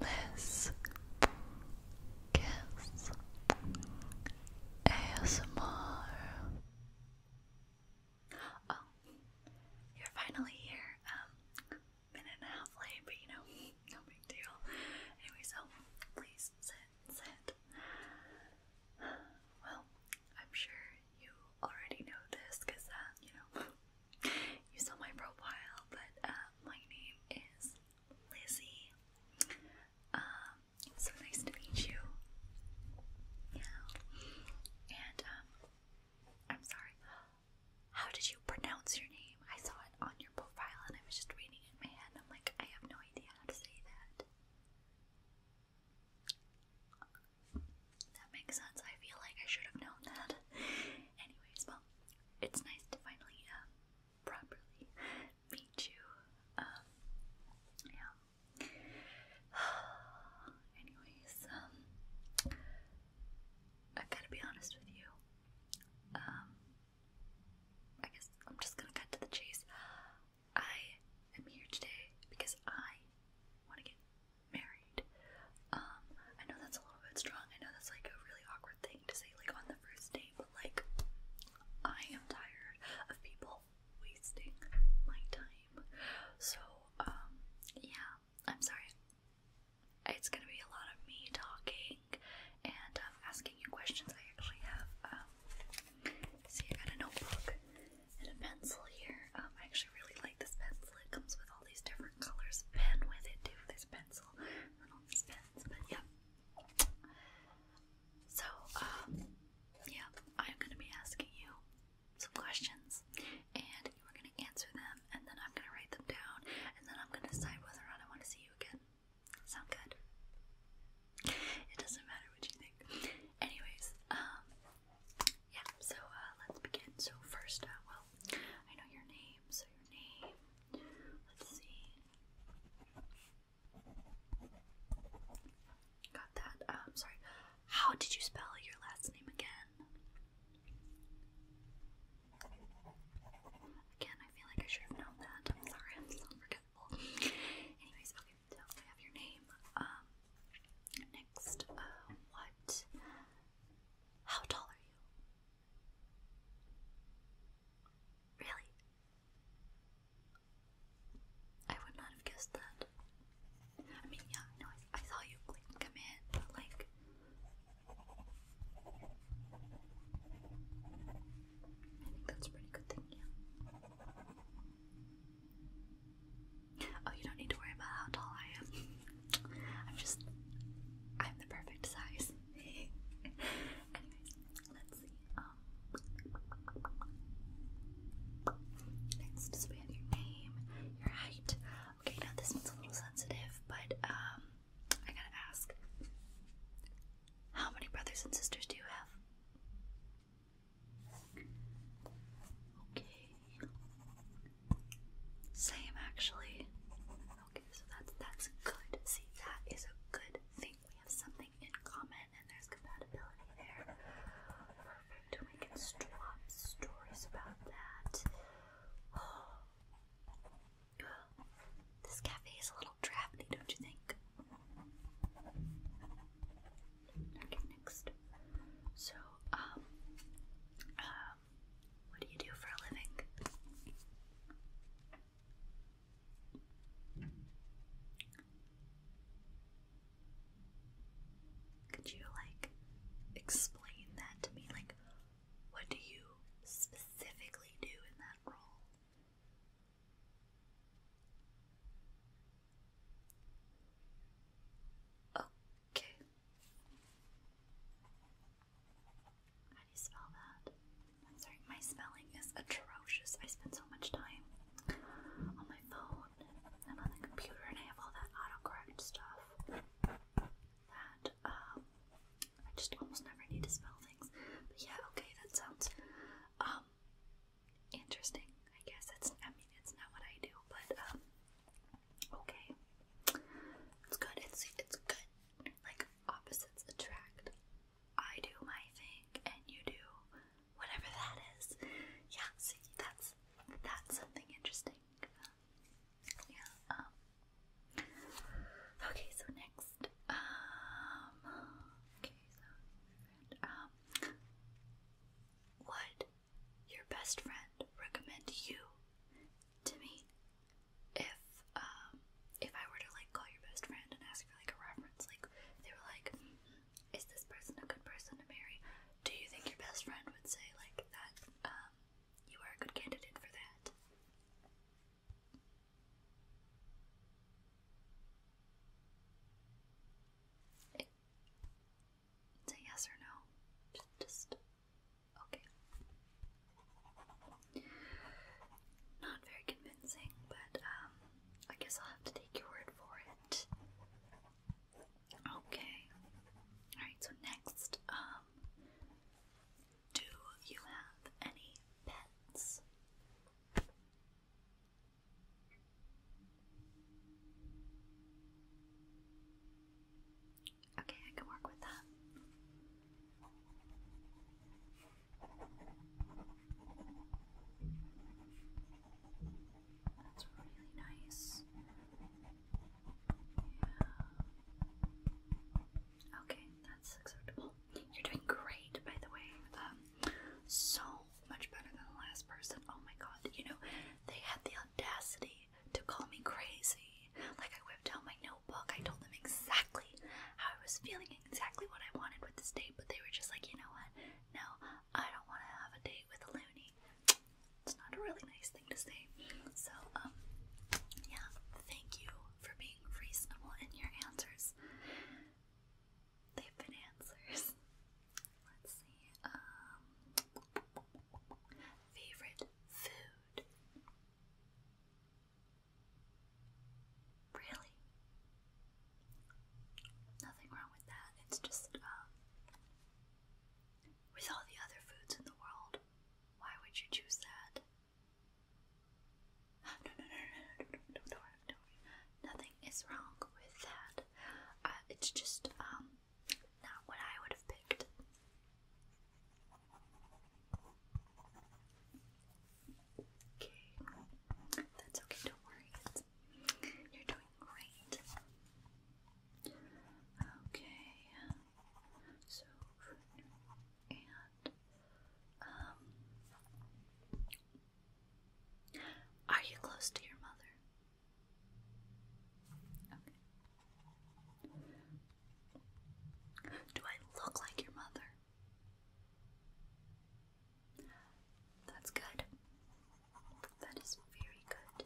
Liz Kiss ASMR. Oh, you're finally here. Um, minute and a half late, but you know, no big deal. Anyway, please sit, sit. Well, I'm sure you already know this uh, you know, you saw my profile, but uh, my name is Lizzie. Um, so nice to meet you. Yeah. And um, I'm sorry. How did you pronounce your name? I saw it on your profile, and I was just reading it in my head. I'm like, I have no idea how to say that. That makes sense. I feel like I should have known that. Anyways, well, it's nice to finally um, properly meet you. Um, yeah. Anyways, um, I gotta be honest with you. Um, I guess I'm just gonna cut to the chase. I am here today because I want to get married. Um, I know that's a little bit strong. I know that's like a really awkward thing to say like on the first date, like I am tired of people wasting my time. So, um, yeah, I'm sorry. It's gonna be a lot of me talking and um, asking you questions. I actually have, um, I got a notebook and a pencil here. Um, I actually really like this pencil. It comes with all these different colors. Pen with it too. This pencil but yeah. So, um, yeah, I'm gonna be asking you some questions, and you are gonna answer them, and then I'm gonna write them down, and then I'm gonna decide whether or not I want to see you again. Sound good? It doesn't matter what you think. Anyways, um, yeah. So uh, let's begin. So first, uh, well, I know your name. So your name Let's see. Got that. um, sorry. How did you spell your last name again? Again, I feel like I should have known that. I'm sorry, I'm forgetful. Anyways, okay, so I have your name. Um, next, uh, what? How tall are you? Really? I would not have guessed that. I mean, yeah, no, I, I saw you like come in, like, I think that's a pretty good thing, yeah. Oh, you don't need to worry about how tall I am. I'm just, I'm the perfect size. Anyways, let's see. Um, next, so we your name, your height. Okay, now this one's a little sensitive, but um, I gotta ask. How many brothers and sisters do you have? Okay. Same actually. Okay, so that's that's good. See, that is a good thing. We have something in common and there's compatibility there. Perfect. We can swap stories about that. This cafe is a little drafty, don't you think? Okay, next. So, um, um what do you do for a living? Could you like explain that to me? Like, what do you specifically do in that role? Okay. How do you spell that? i sorry, my spelling is atrocious. I spend so much time on my phone and on the computer, and I have all that autocorrect stuff that um, I just almost never need to spell things. But yeah, okay, that sounds um interesting. I guess it's. I mean, it's not what I do, but um, okay, it's good. It's it's good like opposites attract. I do my thing and you do whatever that is. Yeah, see, that's that's something interesting. yeah. Um, okay, so next, um, okay, so um, would your best friend recommend you to me if um if I were to like call your best friend and ask for like a reference, like they were like, mm-hmm, "Is this person a good person to marry?" Do you think your best friend would say like that? Um, you are a good candidate for that. It, yes or no. just Okay. Not very convincing, but um, I guess I'll have to take your word for it. Okay. Alright, so next, um, do you have any pets? Okay, I can work with that. That's really nice. Yeah. Okay, that's acceptable. You're doing great, by the way. Um, so much better than the last person. Oh my god, you know, they had the audacity to call me crazy. Like, I whipped out my notebook. I told them exactly how I was feeling, exactly what I wanted with this date, but they were just like, you know what? No, I don't want to have a date with a loony. It's not a really nice thing to say. So, um, yeah, thank you for being reasonable in your answers. They've been answers. Let's see. Um, favorite food. Really? Nothing wrong with that. It's just, um, with all the other foods in the world, why would you choose that? No, no, no, no, no, no, no, no, Nothing is wrong with that. Uh, it's just, um, not what I would have picked. Okay, that's okay, don't worry. you're doing great. Okay, so and um, are you close to your mother? Do I look like your mother? That's good. That is very good.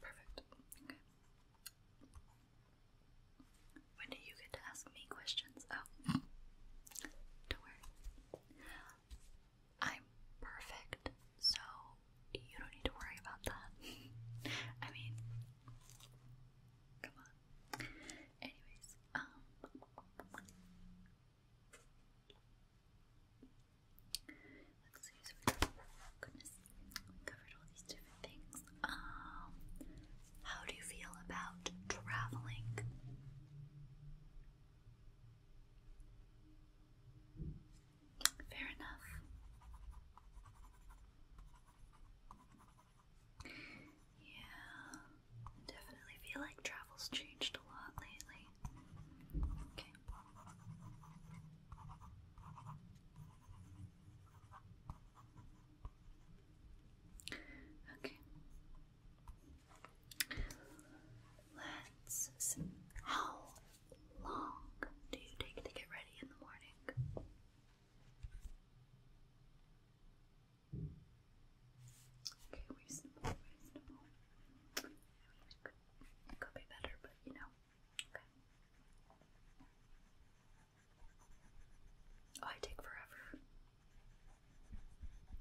Perfect. Okay. When do you get to ask me questions? Oh. Don't worry. I'm perfect, so you don't need to worry about that. I mean, come on. Anyways, um, let's see. oh goodness, covered all these different things. Um, how do you feel about traveling? Fair enough. Yeah, definitely feel like travel's changed a lot lately. Okay. Okay. Let's see. How long do you take to get ready in the morning? Okay, reasonable, reasonable. it could, be better, but you know. Okay. Oh, I take forever.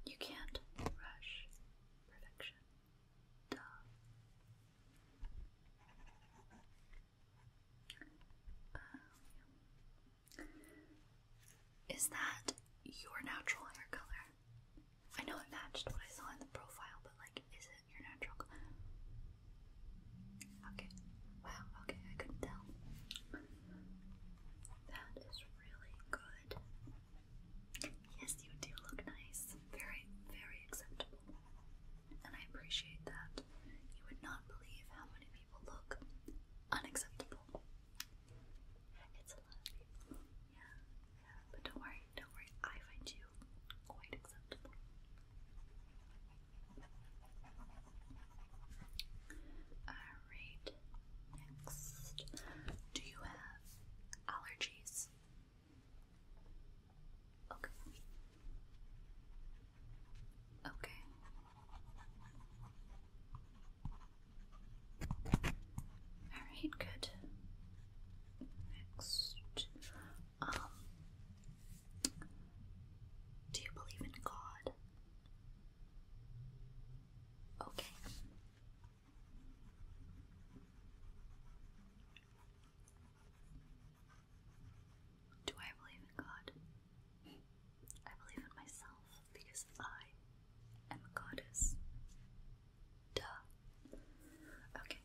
You can't rush perfection. Um, is that your natural hair color? I know it matched what I saw in the profile, but like, is it your natural color? Okay. Wow, okay, I couldn't tell. That is really good. Yes, you do look nice. Very, very acceptable. And I appreciate that. You would not believe how many people look unacceptable. It's a lot of people. Yeah, yeah. But don't worry, don't worry. I find you quite acceptable. Alright, next. Do you have allergies? Okay. Okay. Alright, good. Next. Um Do you believe in God? Okay. Do I believe in God? I believe in myself because I am a goddess. Duh. Okay.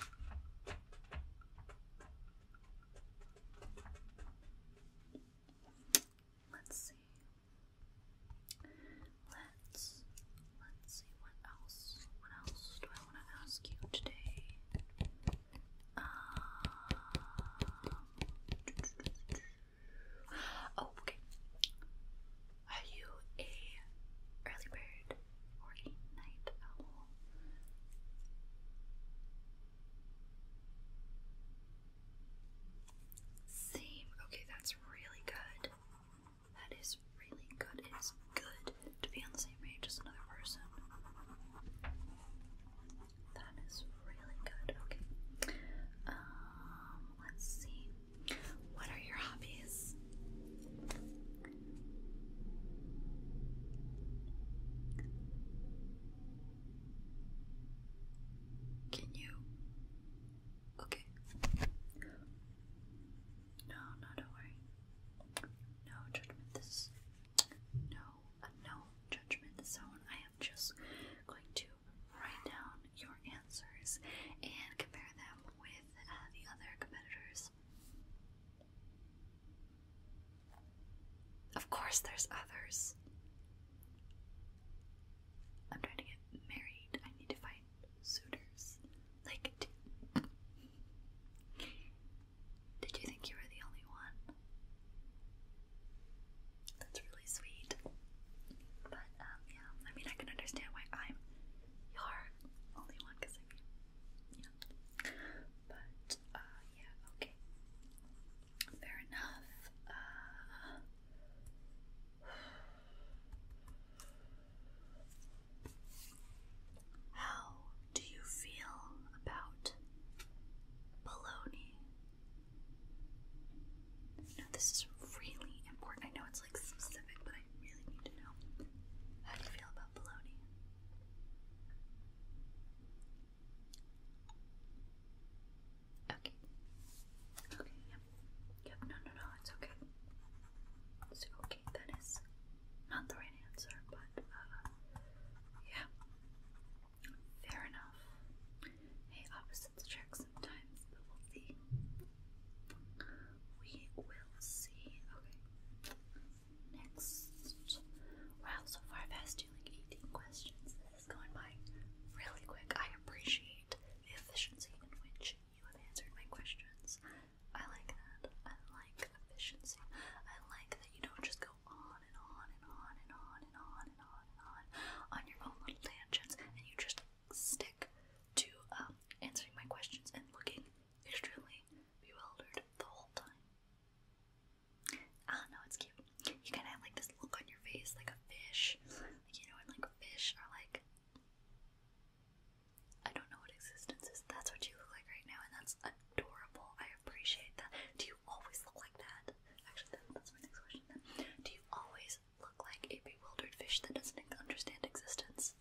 Uh, let's see. Let's let's see what else what else do I want to ask you today? Um, oh, okay. Are you a early bird or a night owl? Same. Okay, that's really good. That is really good. It is good to be on the same page as another person. That is really good. Okay. Um, let's see. What are your hobbies? Can you Okay. No, no, don't worry. No judgment. This no, uh, no judgment zone. I am just going to write down your answers and compare them with uh, the other competitors. Of course, there's others. I'm trying to get married. I need to find suitors like it. Did you think you were the only one? That's really sweet. But, um, yeah, I mean, I can understand why I'm your only one, because I mean, yeah. But, uh, yeah, okay. Fair enough. Uh, how do you feel about bologna? Now, this is really important. I know it's like specific, but I really need to know. How do you feel about bologna? Okay. Okay, yep. Yep, no, no, no, it's okay. So, okay, that is not the right answer, but, uh, yeah. Fair enough. Hey, opposites attract sometimes, but we'll see. We will see. Okay. Next. Wow, so far I've asked you like 18 questions. This is going by really quick. I appreciate appreciate the efficiency in which you have answered my questions. I like that. I like efficiency. I like that you don't just go on and on and on and on and on and on and on on your own little tangents, and you just stick to um, answering my questions and looking extremely bewildered the whole time. I ah, don't know, it's cute. You kind of have like this look on your face, like a fish. Like, you know, and like fish are like I don't know what existence is. That's what you look like right now, and that's adorable. I appreciate that. Do you always look like that? Actually, that's my next question then. Do you always look like a bewildered fish that doesn't understand existence?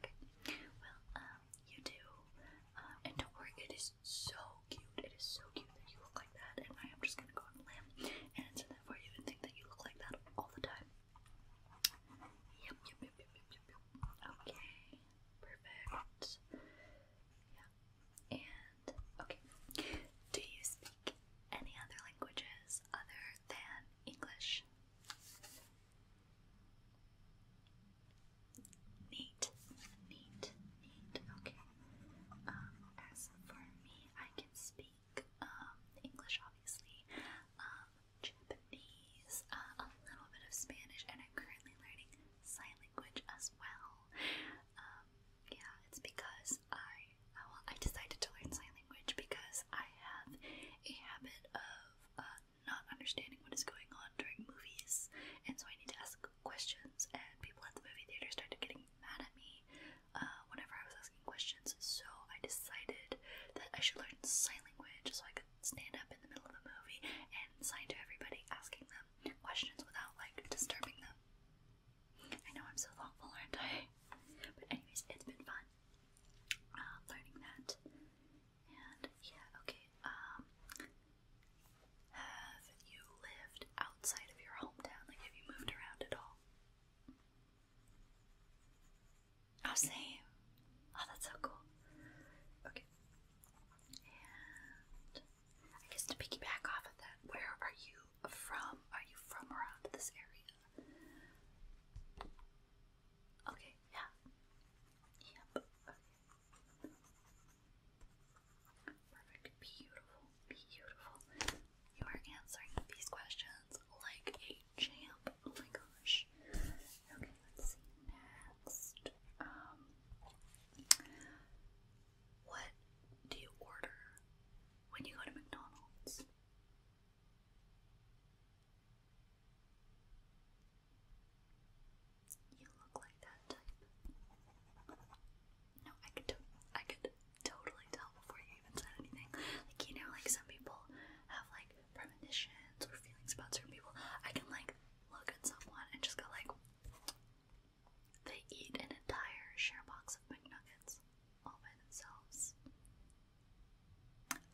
Okay. Well, um, you do. Um, and don't worry, it is so cute. It is so cute that you look like that, and I am just gonna go on a limb and answer that for you and think that you look like that all the time. Yep, yep, yep, yep, yep, yep, yep. Okay, perfect. Yeah. And okay. Do you speak any other languages other than English? Neat, neat, neat. Okay. Um, as for me, I can speak um, English, obviously, um, Japanese, uh, a little bit of Spanish, and I'm currently learning sign language as well. Um, yeah, it's because I uh, well, I decided to learn sign language because I have a habit of uh, not understanding what is going on during movies, and so I need to ask questions, and people at the movie theater started getting mad at me uh, whenever I was asking questions. So I decided that I should learn sign language so I could stand up in the middle of the movie and sign to everybody, asking them questions without like disturbing them. I know I'm so thoughtful, aren't I? But anyways, it's been fun uh, learning that. And yeah, okay. Um, have you lived outside of your hometown? Like, have you moved around at all? Oh, same. Oh, that's so cool. Okay. And I guess to piggyback off of that, where are you from? Are you from around this area? Okay, yeah. Yep. Okay. Perfect. Beautiful. Beautiful. You are answering these questions like a champ. Oh my gosh. Okay, let's see next. Um what do you order when you go to McDonald's? You look like that type. No, I could, to I could totally tell before you even said anything. Like you know, like some people have like premonitions or feelings about certain people. I can like look at someone and just go like, they eat an entire share box of McNuggets all by themselves.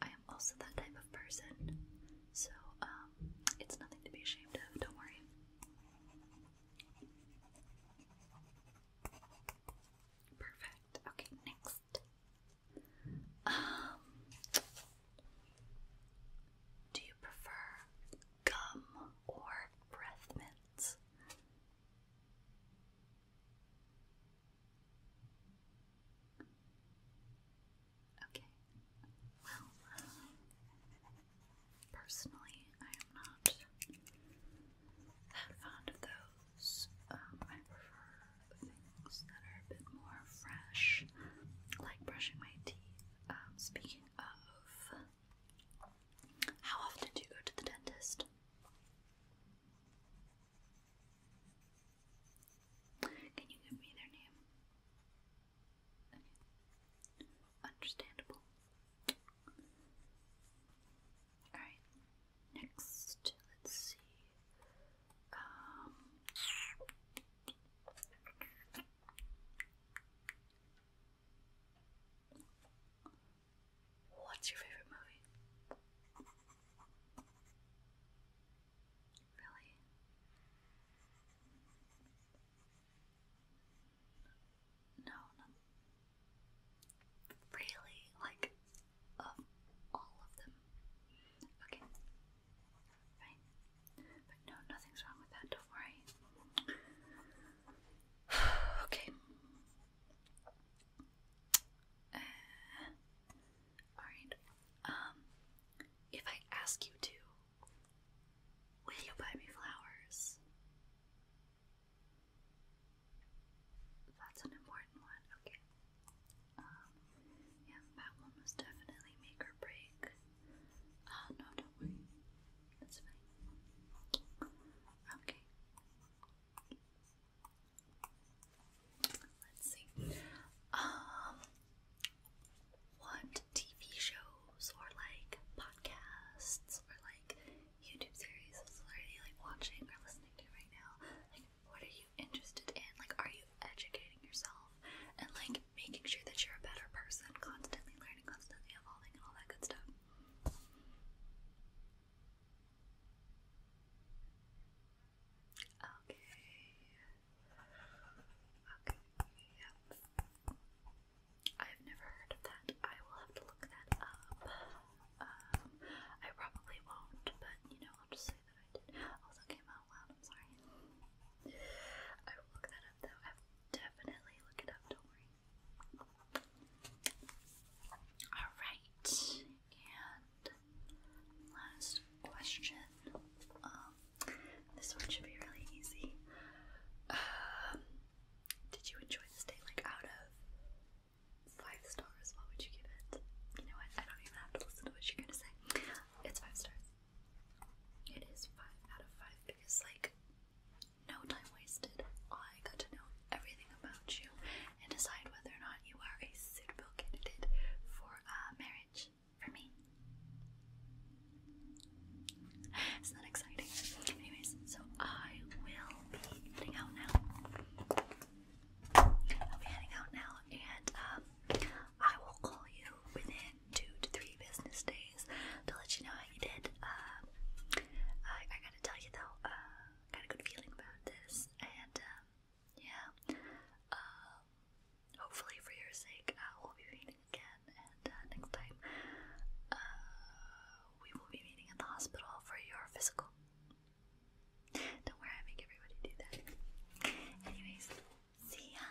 I am also that type of person, so um, it's nothing to be ashamed of. Don't worry. Perfect. Okay, next. Um, do you prefer gum or breath mints? Okay. Well, Personally, I am not that fond of those. Um, I prefer things that are a bit more fresh, like brushing my teeth. Um, speaking of, how often do you go to the dentist? Can you give me their name? Understandable. Alright, next, let's see. Um, what's your favorite movie? Really? No, not really. Like, of all of them. Okay. Fine. But no, nothing's wrong with that, don't worry. okay. Uh, Alright. Um, if I ask you to Will you buy me flowers? That's an important one. Okay. Um, yeah, that will most definitely make or break. Oh, no, don't worry. That's fine. Okay. Let's see. Um, what TV shows or like podcasts or YouTube series that's already like watching or listening to right now. Like, what are you interested in? Like, are you educating yourself and like making sure that you're a better person, constantly learning, constantly evolving, and all that good stuff? Okay. Okay. Yep. I've never heard of that. I will have to look that up. Um, I probably won't, but you know, I'll just say that I did. Also came out loud, I'm sorry. I will look that up though. I will definitely look it up, don't worry. Alright, and last question. Um, this one should be really easy. Um, did you enjoy this day? Like, out of five stars, what would you give it? You know what? I don't even have to listen to what you're gonna say. It's five stars. It is five out of five because, like, no time wasted. I got to know everything about you and decide whether or not you are a suitable candidate for a uh, marriage for me. It's not exciting. Anyways, so I will be heading out now. I'll be heading out now, and um, I will call you within two to three business days to let you know how you did. Um, I, gotta tell you though, I uh, got a good feeling about this, and um, yeah, um, hopefully for your sake, uh, will be reading again and, and uh, next time uh, we will be meeting in the hospital for your physical. Don't worry, I make everybody do that. Anyways, see ya!